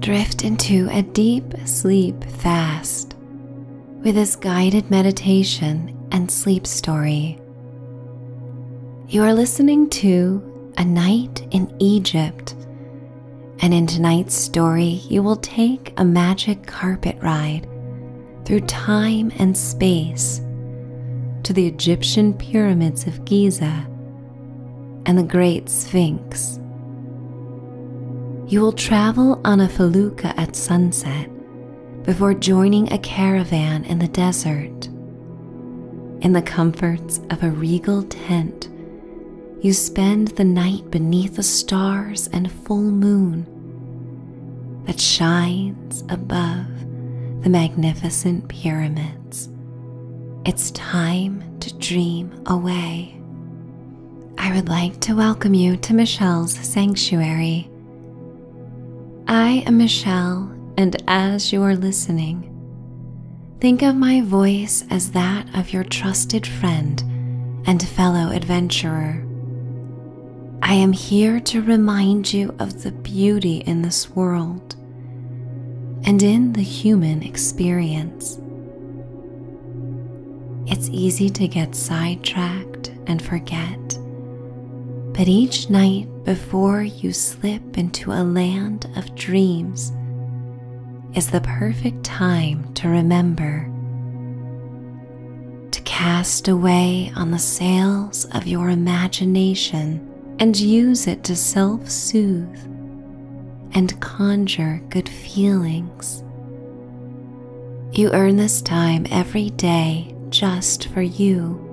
Drift into a deep sleep fast with this guided meditation and sleep story. You are listening to A Night in Egypt, and in tonight's story, you will take a magic carpet ride through time and space to the Egyptian pyramids of Giza and the Great Sphinx. You will travel on a felucca at sunset before joining a caravan in the desert. In the comforts of a regal tent, you spend the night beneath the stars and full moon that shines above the magnificent pyramids. It's time to dream away. I would like to welcome you to Michelle's Sanctuary. I am Michelle, and as you are listening, think of my voice as that of your trusted friend and fellow adventurer. I am here to remind you of the beauty in the world and in the human experience. It's easy to get sidetracked and forget, but each night before you slip into a land of dreams is the perfect time to remember. To cast away on the sails of your imagination and use it to self soothe and conjure good feelings. You earn this time every day just for you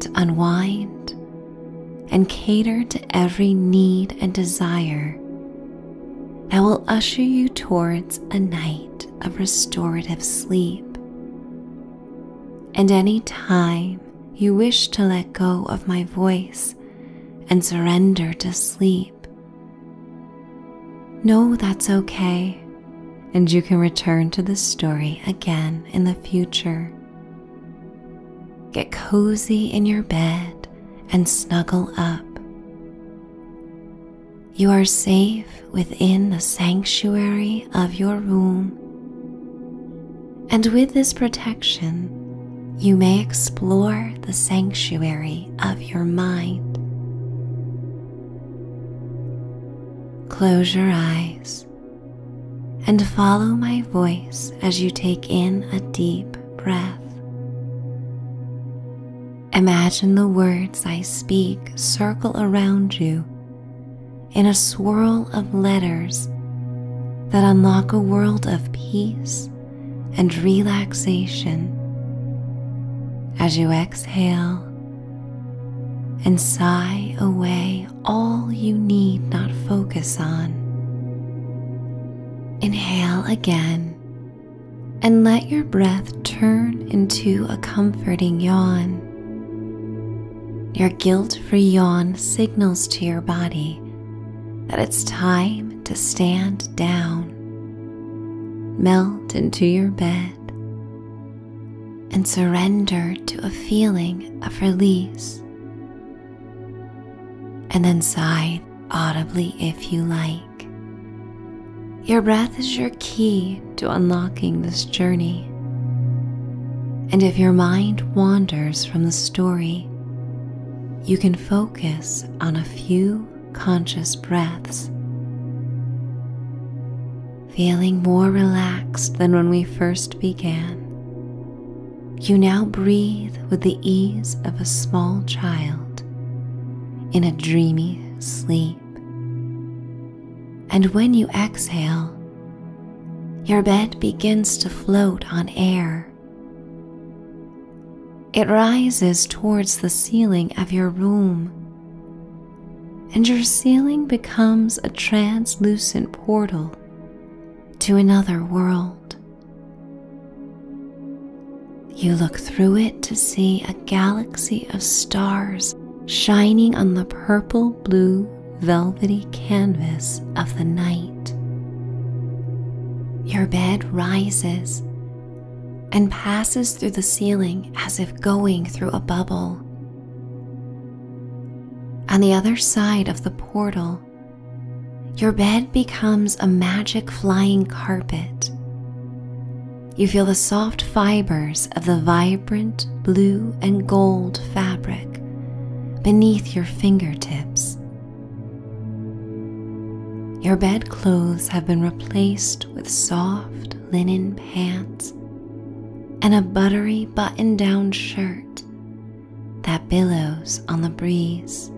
to unwind and cater to every need and desire that will usher you towards a night of restorative sleep. And any time you wish to let go of my voice and surrender to sleep. No, that's okay, and you can return to the story again in the future. Get cozy in your bed and snuggle up. You are safe within the sanctuary of your room and with this protection, you may explore the sanctuary of your mind. Close your eyes and follow my voice as you take in a deep breath. Imagine the words I speak circle around you in a swirl of letters that unlock a world of peace and relaxation as you exhale and sigh away all you need not focus on. Inhale again and let your breath turn into a comforting yawn. Your guilt free yawn signals to your body that it's time to stand down. Melt into your bed and surrender to a feeling of release. And then sigh audibly if you like. Your breath is your key to unlocking this journey. And if your mind wanders from the story you can focus on a few conscious breaths, feeling more relaxed than when we first began. You now breathe with the ease of a small child in a dreamy sleep. And when you exhale, your bed begins to float on air. It rises towards the ceiling of your room, and your ceiling becomes a translucent portal to another world. You look through it to see a galaxy of stars shining on the purple blue velvety canvas of the night. Your bed rises and passes through the ceiling as if going through a bubble. On the other side of the portal, your bed becomes a magic flying carpet. You feel the soft fibers of the vibrant blue and gold fabric beneath your fingertips. Your bedclothes have been replaced with soft linen pants and a buttery button down shirt that billows on the breeze.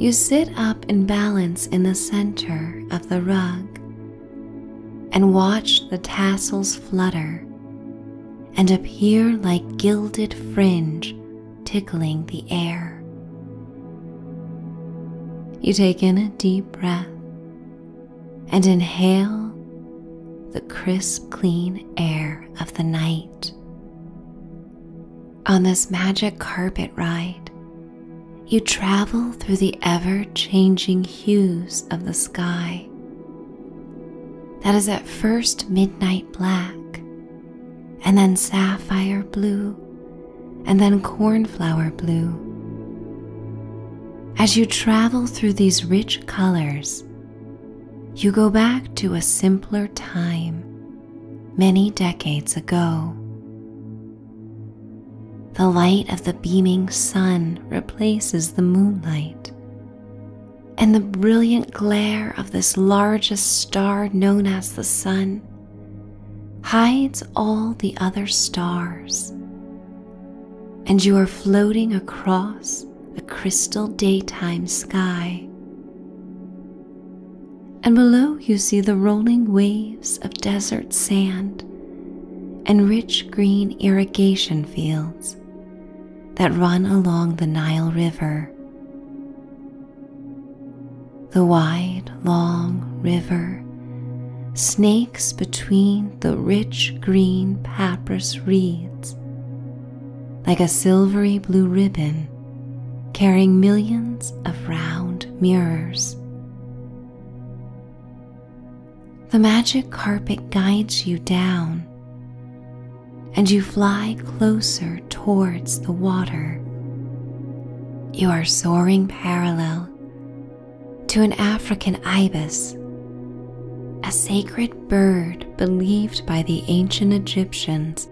You sit up in balance in the center of the rug and watch the tassels flutter and appear like gilded fringe tickling the air. You take in a deep breath and inhale the crisp, clean air of the night. On this magic carpet ride, you travel through the ever changing hues of the sky that is at first midnight black, and then sapphire blue, and then cornflower blue. As you travel through these rich colors, you go back to a simpler time many decades ago. The light of the beaming sun replaces the moonlight, and the brilliant glare of this largest star known as the sun hides all the other stars, and you are floating across a crystal daytime sky. And below you see the rolling waves of desert sand and rich green irrigation fields that run along the Nile River. The wide, long river snakes between the rich green papyrus reeds like a silvery blue ribbon carrying millions of round mirrors. The magic carpet guides you down and you fly closer towards the water. You are soaring parallel to an African ibis, a sacred bird believed by the ancient Egyptians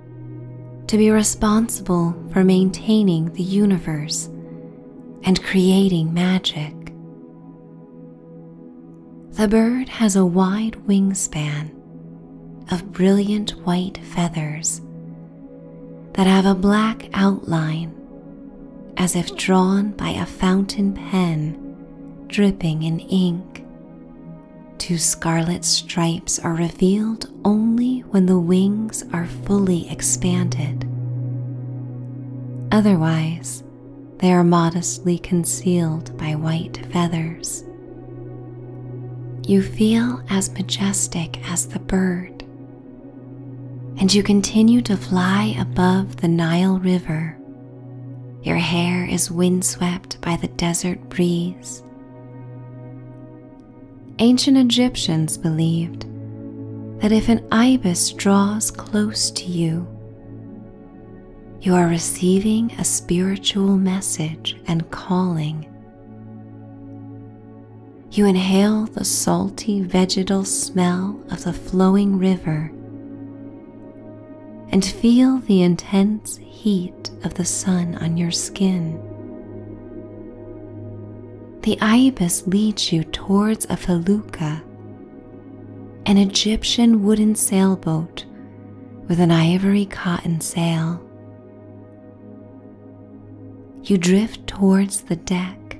to be responsible for maintaining the universe and creating magic. The bird has a wide wingspan of brilliant white feathers that have a black outline as if drawn by a fountain pen dripping in ink. Two scarlet stripes are revealed only when the wings are fully expanded. Otherwise, they are modestly concealed by white feathers. You feel as majestic as the bird, and you continue to fly above the Nile River. Your hair is windswept by the desert breeze. Ancient Egyptians believed that if an ibis draws close to you, you are receiving a spiritual message and calling. You inhale the salty vegetal smell of the flowing river and feel the intense heat of the sun on your skin. The ibis leads you towards a felucca an Egyptian wooden sailboat with an ivory cotton sail. You drift towards the deck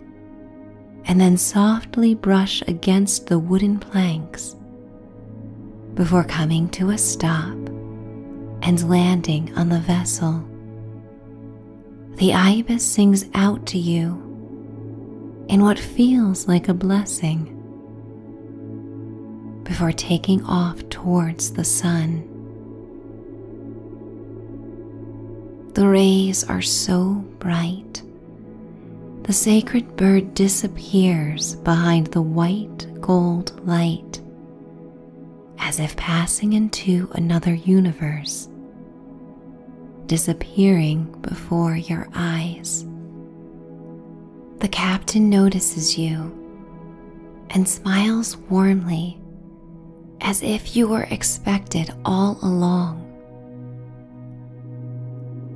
and then softly brush against the wooden planks before coming to a stop and landing on the vessel. The ibis sings out to you in what feels like a blessing before taking off towards the sun. The rays are so bright, the sacred bird disappears behind the white gold light as if passing into another universe, disappearing before your eyes. The captain notices you and smiles warmly as if you were expected all along.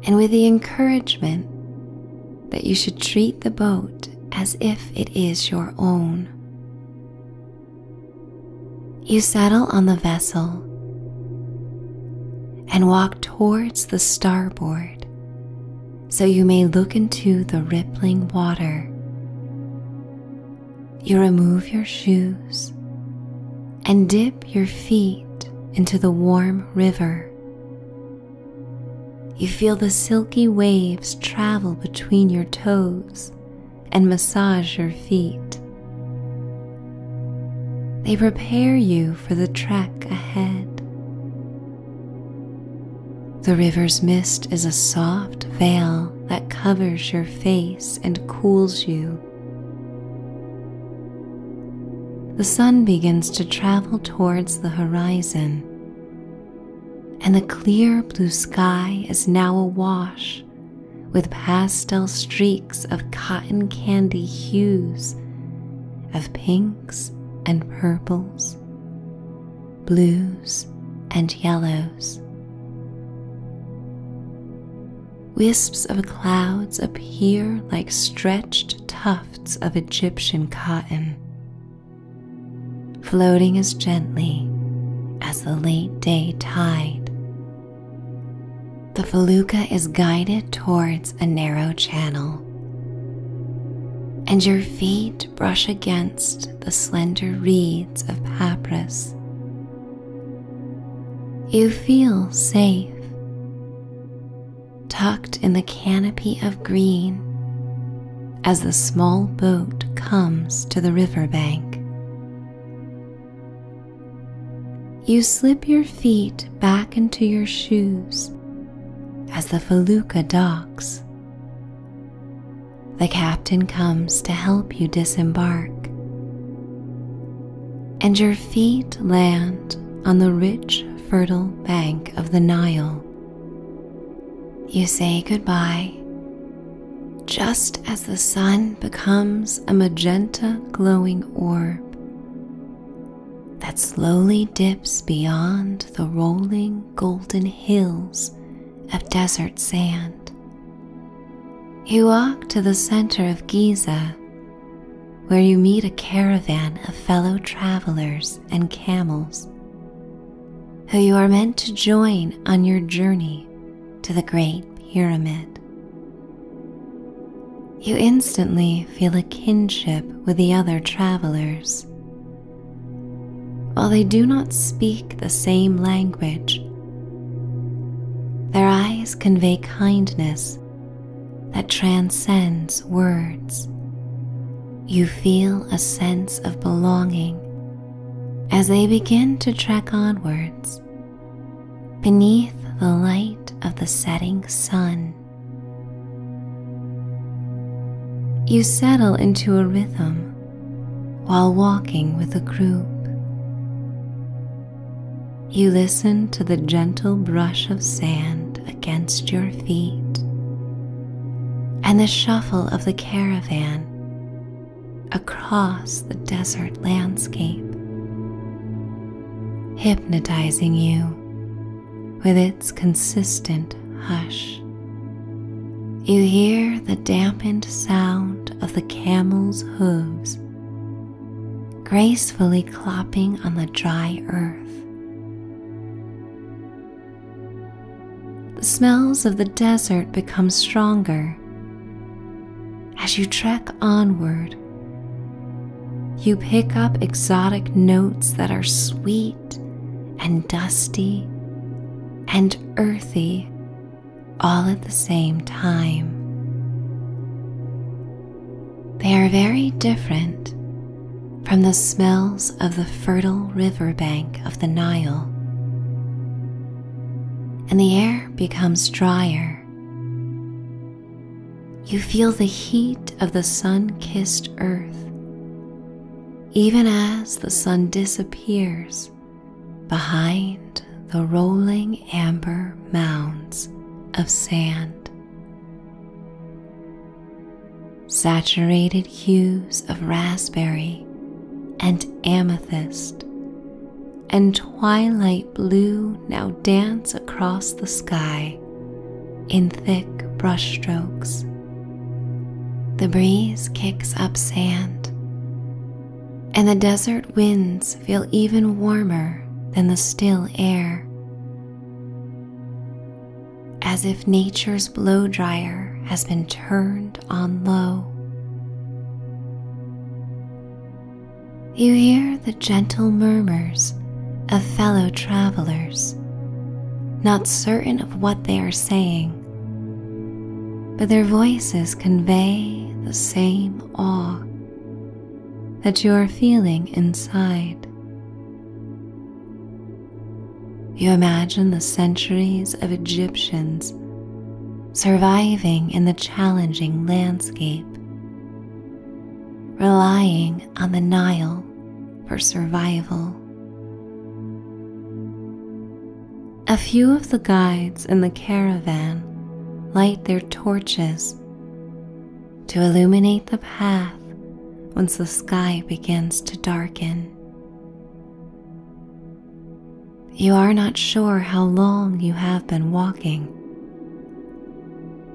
And with the encouragement that you should treat the boat as if it is your own. You settle on the vessel and walk towards the starboard so you may look into the rippling water. You remove your shoes and dip your feet into the warm river. You feel the silky waves travel between your toes and massage your feet. They prepare you for the track ahead. The river's mist is a soft veil that covers your face and cools you. The sun begins to travel towards the horizon, and the clear blue sky is now awash with pastel streaks of cotton candy hues, of pink and purples, blues and yellows. Wisps of clouds appear like stretched tufts of Egyptian cotton, floating as gently as the late day tide the felucca is guided towards a narrow channel, and your feet brush against the slender reeds of papyrus. You feel safe, tucked in the canopy of green as the small boat comes to the riverbank you slip your feet back into your shoes as the felucca docks. The captain comes to help you disembark, and your feet land on the rich, fertile bank of the Nile. You say goodbye just as the sun becomes a magenta glowing orb that slowly dips beyond the rolling golden hills of desert sand. You walk to the center of Giza, where you meet a caravan of fellow travelers and camels who you are meant to join on your journey to the Great Pyramid. You instantly feel a kinship with the other travelers. While they do not speak the same language, their eyes convey kindness that transcends words. You feel a sense of belonging as they begin to trek onwards beneath the light of the setting sun. You settle into a rhythm while walking with a group. You listen to the gentle brush of sand against your feet and the shuffle of the caravan across the desert landscape, hypnotizing you with its consistent hush. You hear the dampened sound of the camel's hooves gracefully clopping on the dry earth. The smells of the desert become stronger as you trek onward you pick up exotic notes that are sweet and dusty and earthy all at the same time. They are very different from the smells of the fertile riverbank of the Nile, and the air becomes drier you feel the heat of the sun kissed earth, even as the sun disappears behind the rolling amber mounds of sand. Saturated hues of raspberry and amethyst and twilight blue now dance across the sky in thick brushstrokes. The breeze kicks up sand, and the desert winds feel even warmer than the still air. As if nature's blow dryer has been turned on low. You hear the gentle murmurs of fellow travelers, not certain of what they are saying, but their voices convey the same awe that you are feeling inside. You imagine the centuries of Egyptians surviving in the challenging landscape, relying on the Nile for survival. A few of the guides in the caravan light their torches to illuminate the path once the sky begins to darken. You are not sure how long you have been walking,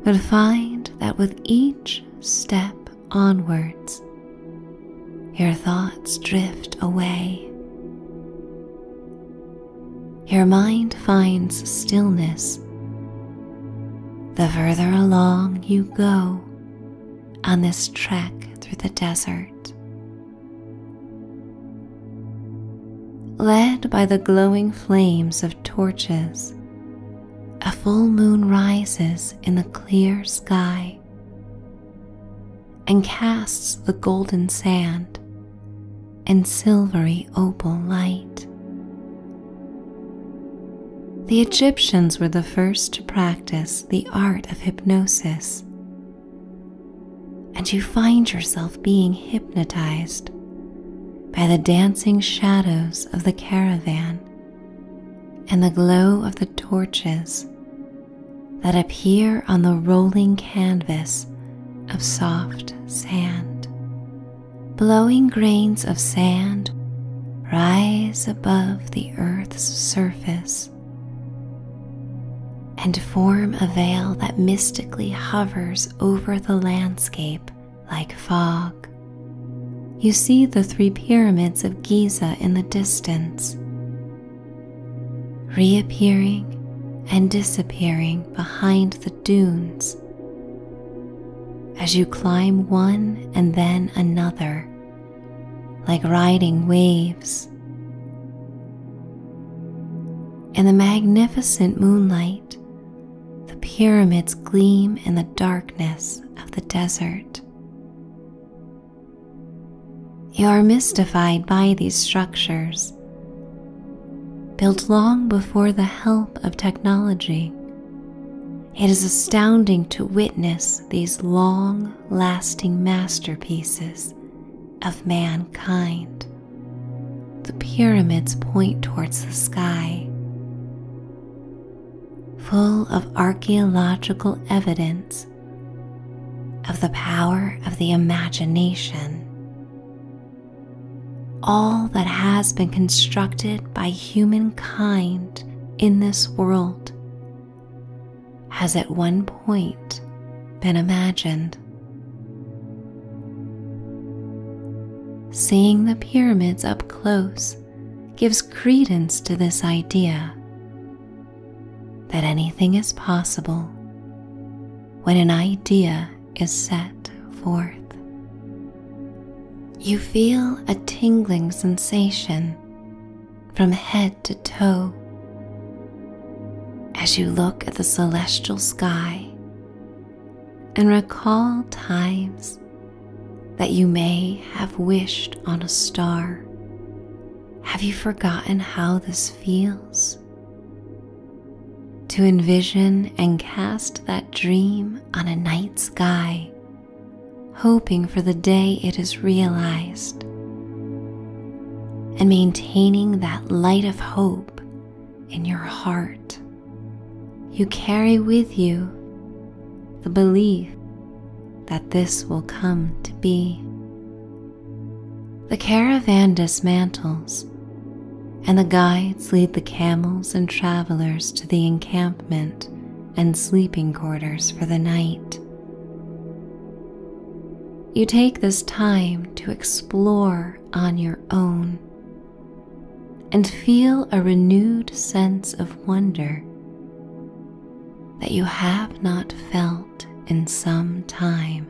but find that with each step onwards, your thoughts drift away. Your mind finds stillness the further along you go on this trek through the desert. Led by the glowing flames of torches a full moon rises in the clear sky and casts the golden sand in silvery opal light. The Egyptians were the first to practice the art of hypnosis, and you find yourself being hypnotized by the dancing shadows of the caravan and the glow of the torches that appear on the rolling canvas of soft sand. Blowing grains of sand rise above the earth's surface and form a veil that mystically hovers over the landscape like fog. You see the three pyramids of Giza in the distance, reappearing and disappearing behind the dunes. As you climb one and then another, like riding waves. In the magnificent moonlight, the pyramids gleam in the darkness of the desert. You are mystified by these structures, built long before the help of technology. It is astounding to witness these long lasting masterpieces of mankind. The pyramids point towards the sky, full of archaeological evidence of the power of the imagination. All that has been constructed by humankind in this world has at one point been imagined. Seeing the pyramids up close gives credence to this idea that anything is possible when an idea is set forth. You feel a tingling sensation from head to toe as you look at the celestial sky and recall times that you may have wished on a star. Have you forgotten how this feels? To envision and cast that dream on a night sky, hoping for the day it is realized, and maintaining that light of hope in your heart you carry with you the belief that this will come to be. The caravan dismantles, and the guides lead the camels and travelers to the encampment and sleeping quarters for the night. You take this time to explore on your own and feel a renewed sense of wonder that you have not felt in some time.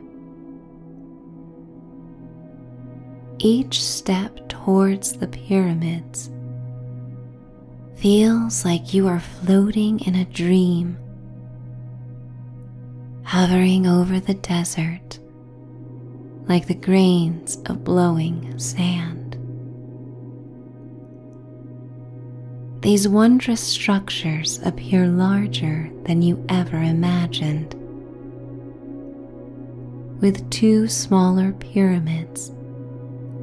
Each step towards the pyramids feels like you are floating in a dream, hovering over the desert like the grains of blowing sand. These wondrous structures appear larger than you ever imagined, with two smaller pyramids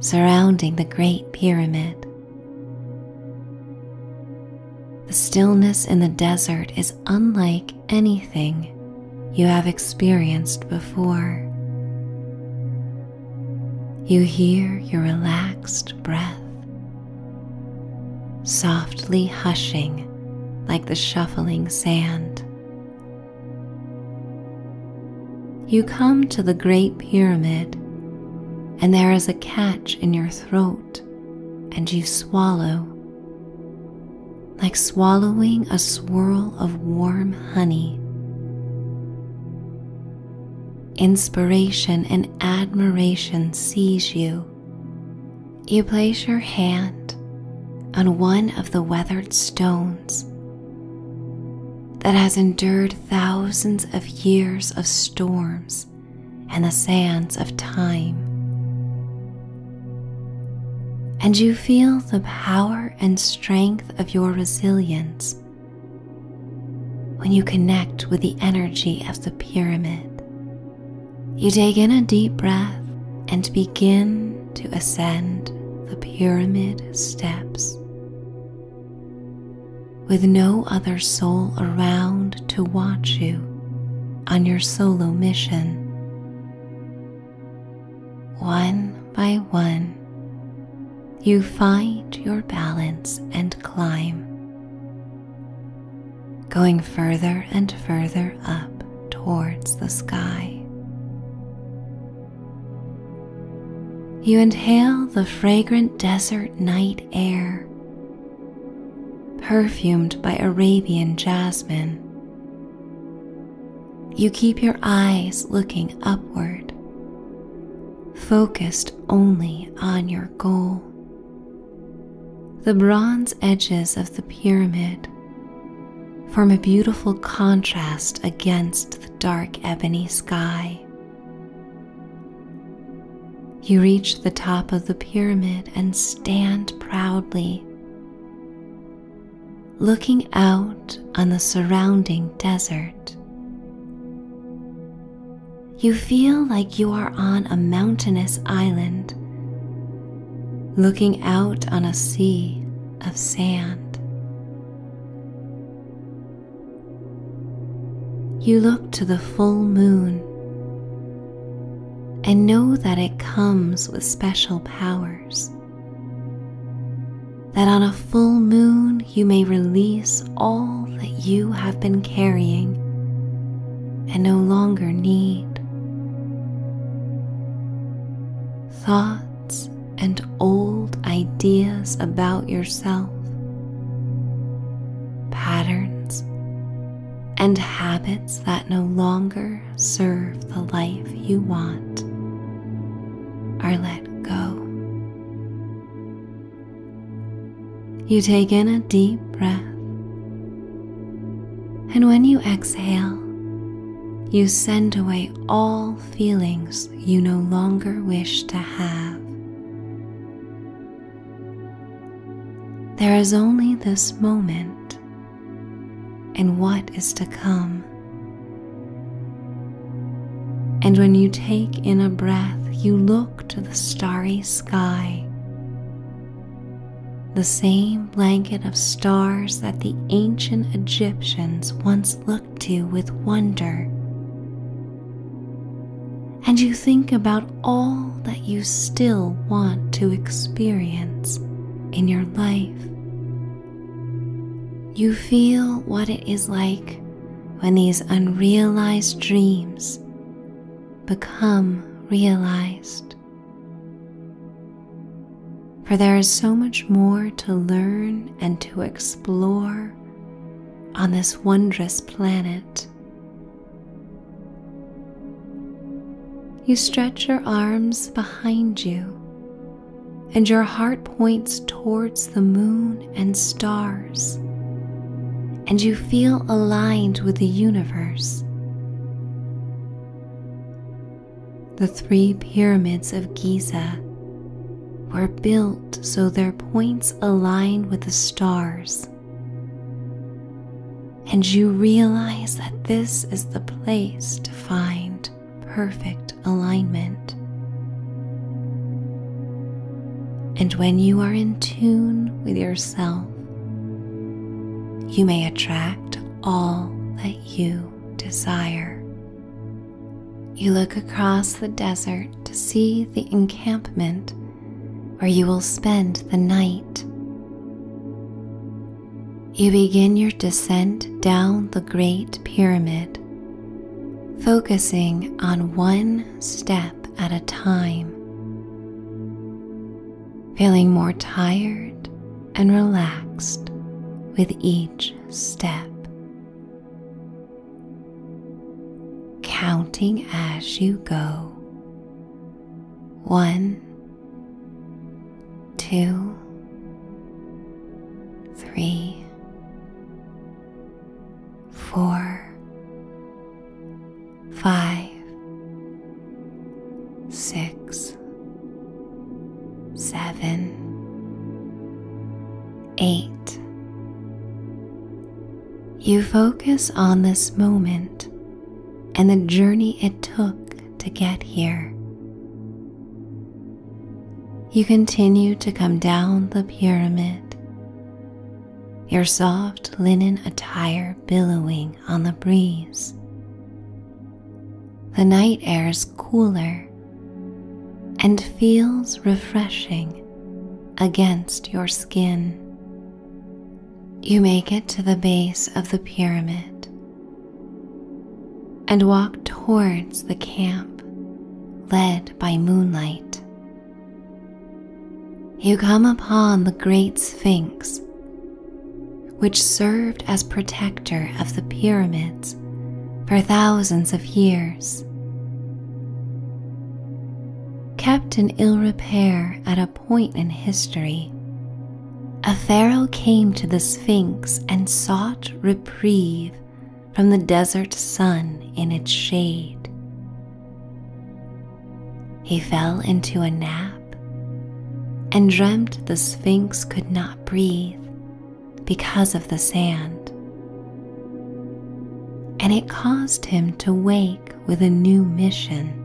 surrounding the Great Pyramid. The stillness in the desert is unlike anything you have experienced before. You hear your relaxed breath softly hushing like the shuffling sand. You come to the Great Pyramid, and there is a catch in your throat, and you swallow like swallowing a swirl of warm honey. Inspiration and admiration seize you. You place your hand on one of the weathered stones that has endured thousands of years of storms and the sands of time. And you feel the power and strength of your resilience when you connect with the energy of the pyramid. You take in a deep breath and begin to ascend the pyramid steps. With no other soul around to watch you on your solo mission, one by one, you find your balance and climb, going further and further up towards the sky. You inhale the fragrant desert night air, perfumed by Arabian jasmine, you keep your eyes looking upward, focused only on your goal. The bronze edges of the pyramid form a beautiful contrast against the dark ebony sky. You reach the top of the pyramid and stand proudly, looking out on the surrounding desert. You feel like you are on a mountainous island, looking out on a sea of sand. You look to the full moon and know that it comes with special powers. That on a full moon you may release all that you have been carrying and no longer need. Thoughts and old ideas about yourself, patterns and habits that no longer serve the life you want are let go. You take in a deep breath, and when you exhale, you send away all feelings you no longer wish to have. There is only this moment and what is to come. And when you take in a breath, you look to the starry sky, the same blanket of stars that the ancient Egyptians once looked to with wonder. And you think about all that you still want to experience in your life you feel what it is like when these unrealized dreams become realized. For there is so much more to learn and to explore on this wondrous planet. You stretch your arms behind you and your heart points towards the moon and stars, and you feel aligned with the universe. The three pyramids of Giza were built so their points align with the stars, and you realize that this is the place to find perfect alignment. And when you are in tune with yourself, you may attract all that you desire. You look across the desert to see the encampment where you will spend the night. You begin your descent down the Great Pyramid, focusing on one step at a time, feeling more tired and relaxed with each step. Counting as you go. One, two, three, four, five, six, seven, eight. You focus on this moment and the journey it took to get here. You continue to come down the pyramid, your soft linen attire billowing on the breeze. The night air is cooler and feels refreshing against your skin. You make it to the base of the pyramid and walk towards the camp led by moonlight. You come upon the great Sphinx, which served as protector of the pyramids for thousands of years. Kept in ill repair at a point in history, a pharaoh came to the Sphinx and sought Breathe from the desert sun in its shade. He fell into a nap and dreamt the Sphinx could not breathe because of the sand, and it caused him to wake with a new mission.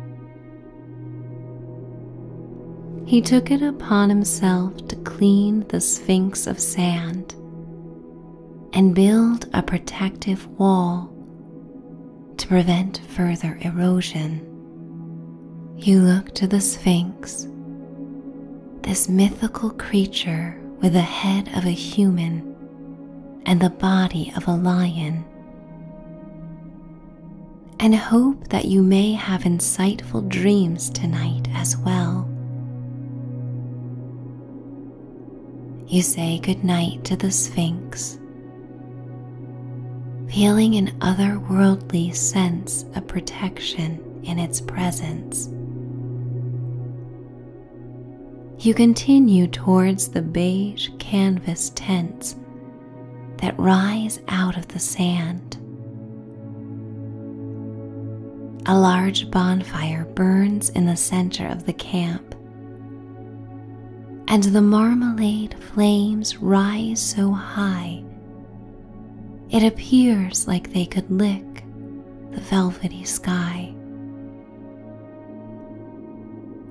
He took it upon himself to clean the Sphinx of sand and build a protective wall to prevent further erosion. You look to the Sphinx, this mythical creature with the head of a human and the body of a lion, and hope that you may have insightful dreams tonight as well. You say goodnight to the Sphinx, feeling an otherworldly sense of protection in its presence. You continue towards the beige canvas tents that rise out of the sand a large bonfire burns in the center of the camp, and the marmalade flames rise so high it appears like they could lick the velvety sky.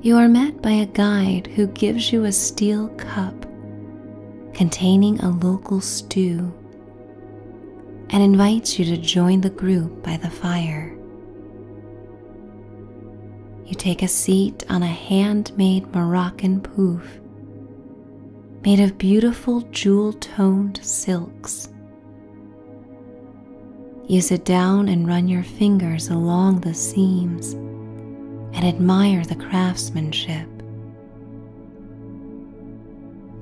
You are met by a guide who gives you a steel cup containing a local stew and invites you to join the group by the fire. You take a seat on a handmade Moroccan pouf made of beautiful jewel toned silks. You sit down and run your fingers along the seams and admire the craftsmanship.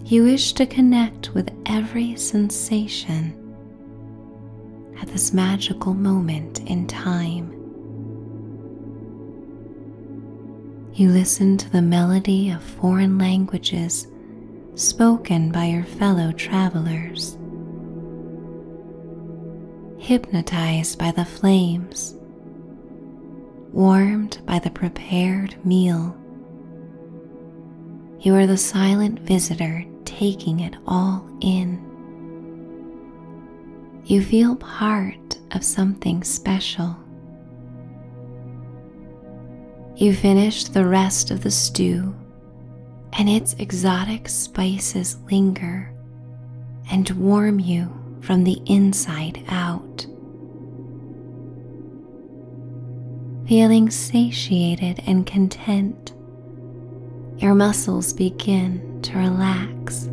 You wish to connect with every sensation at this magical moment in time. You listen to the melody of foreign languages spoken by your fellow travelers, hypnotized by the flames warmed by the prepared meal. You are the silent visitor taking it all in. You feel part of something special. You finish the rest of the stew, and its exotic spices linger and warm you from the inside out. Feeling satiated and content, your muscles begin to relax.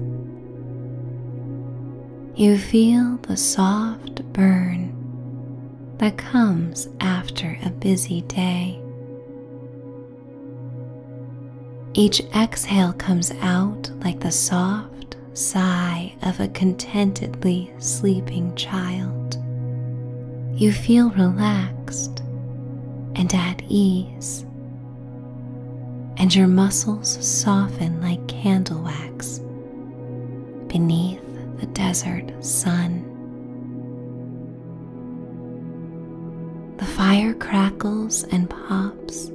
You feel the soft burn that comes after a busy day. Each exhale comes out like the soft sigh of a contentedly sleeping child. You feel relaxed and at ease, and your muscles soften like candle wax beneath the desert sun. The fire crackles and pops,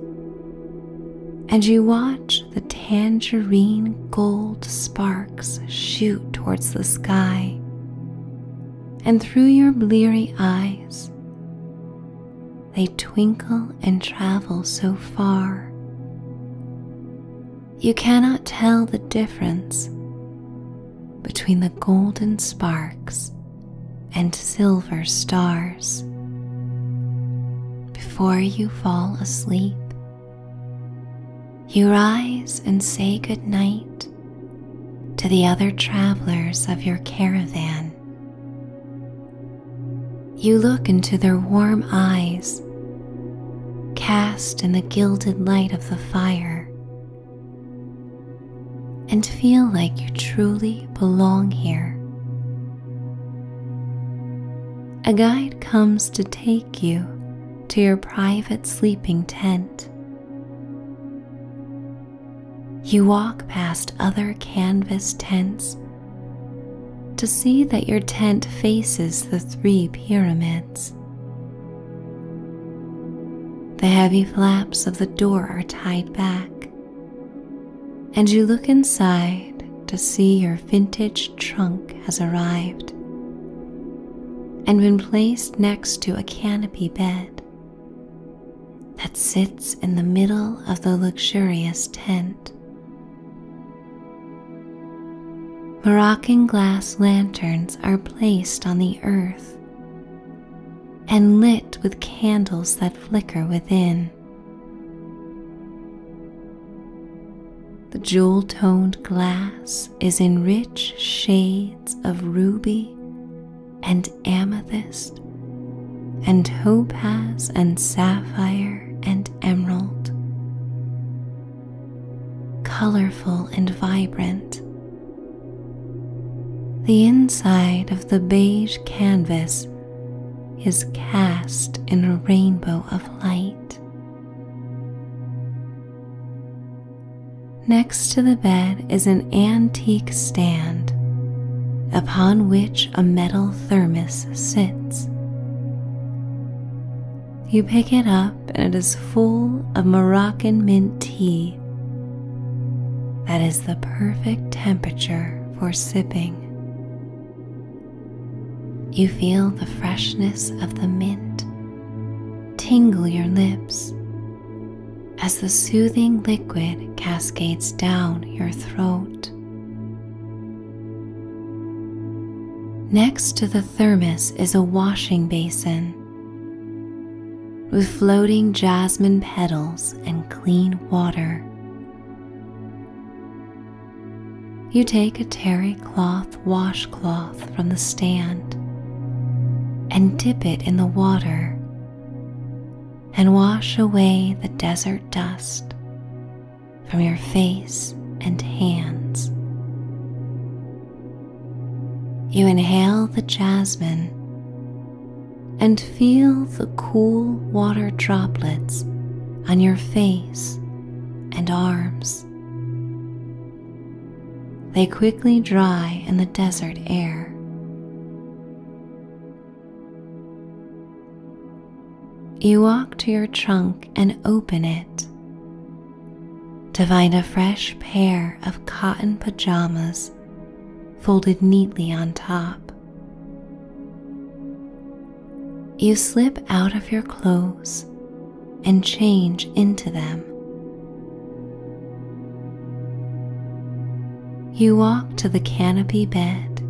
and you watch the tangerine gold sparks shoot towards the sky, and through your bleary eyes, they twinkle and travel so far. You cannot tell the difference between the golden sparks and silver stars before you fall asleep. You rise and say good night to the other travelers of your caravan. You look into their warm eyes, cast in the gilded light of the fire, and feel like you truly belong here a guide comes to take you to your private sleeping tent. You walk past other canvas tents to see that your tent faces the three pyramids. The heavy flaps of the door are tied back, and you look inside to see your vintage trunk has arrived and been placed next to a canopy bed that sits in the middle of the luxurious tent. Moroccan glass lanterns are placed on the earth and lit with candles that flicker within. The jewel toned glass is in rich shades of ruby and amethyst and topaz and sapphire and emerald. Colorful and vibrant. The inside of the beige canvas is cast in a rainbow of light. Next to the bed is an antique stand upon which a metal thermos sits. You pick it up and it is full of Moroccan mint tea. That is the perfect temperature for sipping. You feel the freshness of the mint tingle your lips as the soothing liquid cascades down your throat. Next to the thermos is a washing basin with floating jasmine petals and clean water. You take a terry cloth washcloth from the stand and dip it in the water and wash away the desert dust from your face and hands. You inhale the jasmine and feel the cool water droplets on your face and arms. They quickly dry in the desert air. You walk to your trunk and open it to find a fresh pair of cotton pajamas folded neatly on top. You slip out of your clothes and change into them. You walk to the canopy bed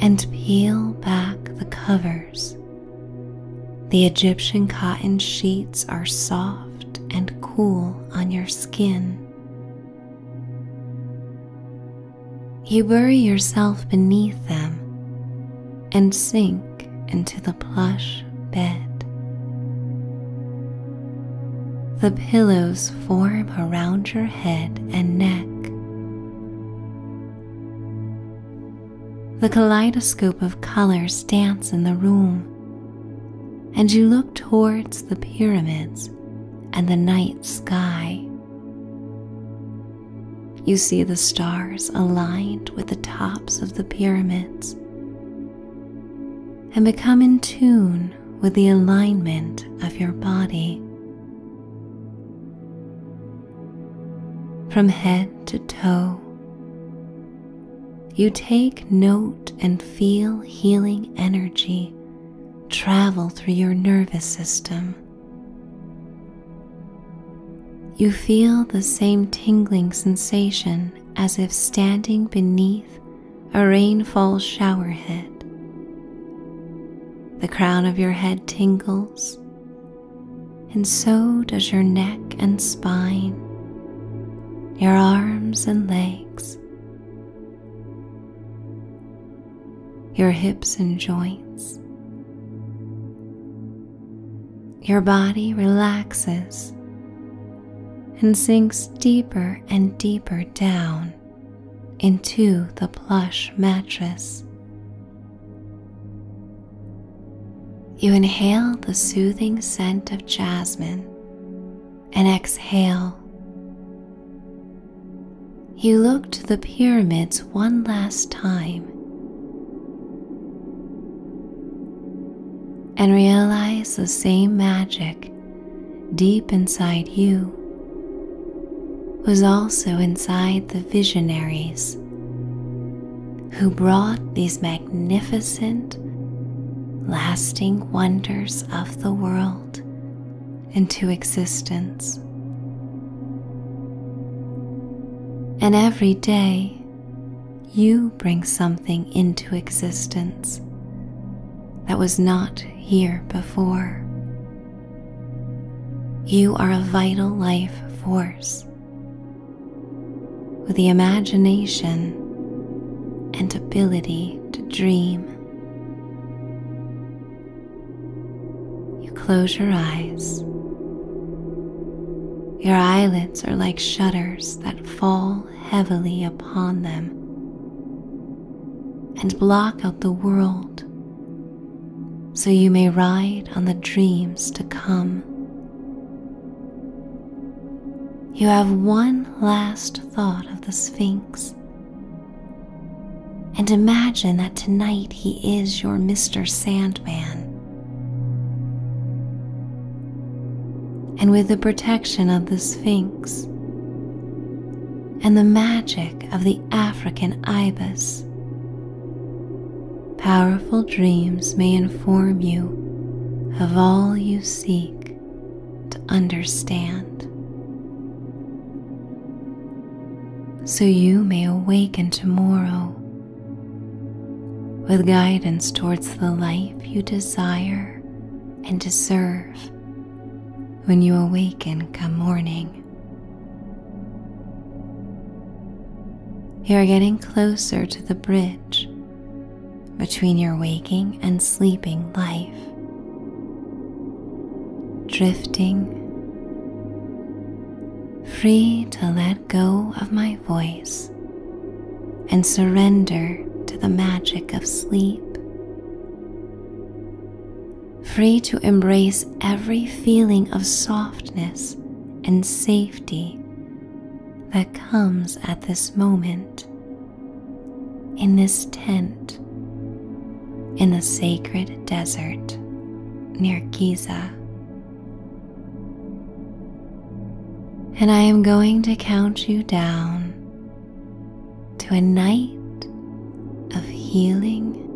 and peel back the covers. The Egyptian cotton sheets are soft and cool on your skin. You bury yourself beneath them and sink into the plush bed. The pillows form around your head and neck. The kaleidoscope of colors dance in the room, and you look towards the pyramids and the night sky. You see the stars aligned with the tops of the pyramids and become in tune with the alignment of your body. From head to toe, you take note and feel healing energy travel through your nervous system. You feel the same tingling sensation as if standing beneath a rainfall shower head. The crown of your head tingles, and so does your neck and spine, your arms and legs your hips and joints. Your body relaxes and sinks deeper and deeper down into the plush mattress. You inhale the soothing scent of jasmine and exhale you look to the pyramids one last time and realize the same magic deep inside you was also inside the visionaries who brought these magnificent, lasting wonders of the world into existence. And every day you bring something into existence that was not here before. You are a vital life force with the imagination and ability to dream. You close your eyes. Your eyelids are like shutters that fall heavily upon them and block out the world so you may ride on the dreams to come. You have one last thought of the Sphinx and imagine that tonight he is your Mr. Sandman. And with the protection of the Sphinx and the magic of the African ibis, powerful dreams may inform you of all you seek to understand so you may awaken tomorrow with guidance towards the life you desire and deserve when you awaken come morning. You are getting closer to the bridge between your waking and sleeping life, drifting free to let go of my voice and surrender to the magic of sleep. Free to embrace every feeling of softness and safety that comes at this moment in this tent in the sacred desert near Giza. And I am going to count you down to a night of healing,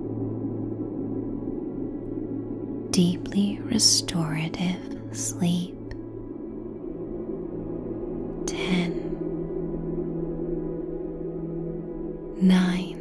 deeply restorative sleep. Ten, nine,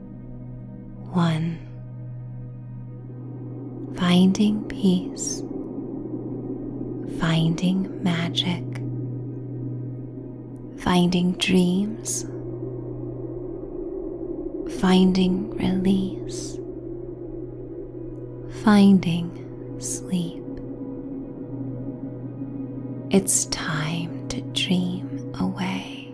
one. Finding peace, finding magic, finding dreams, finding release, finding sleep. It's time to dream away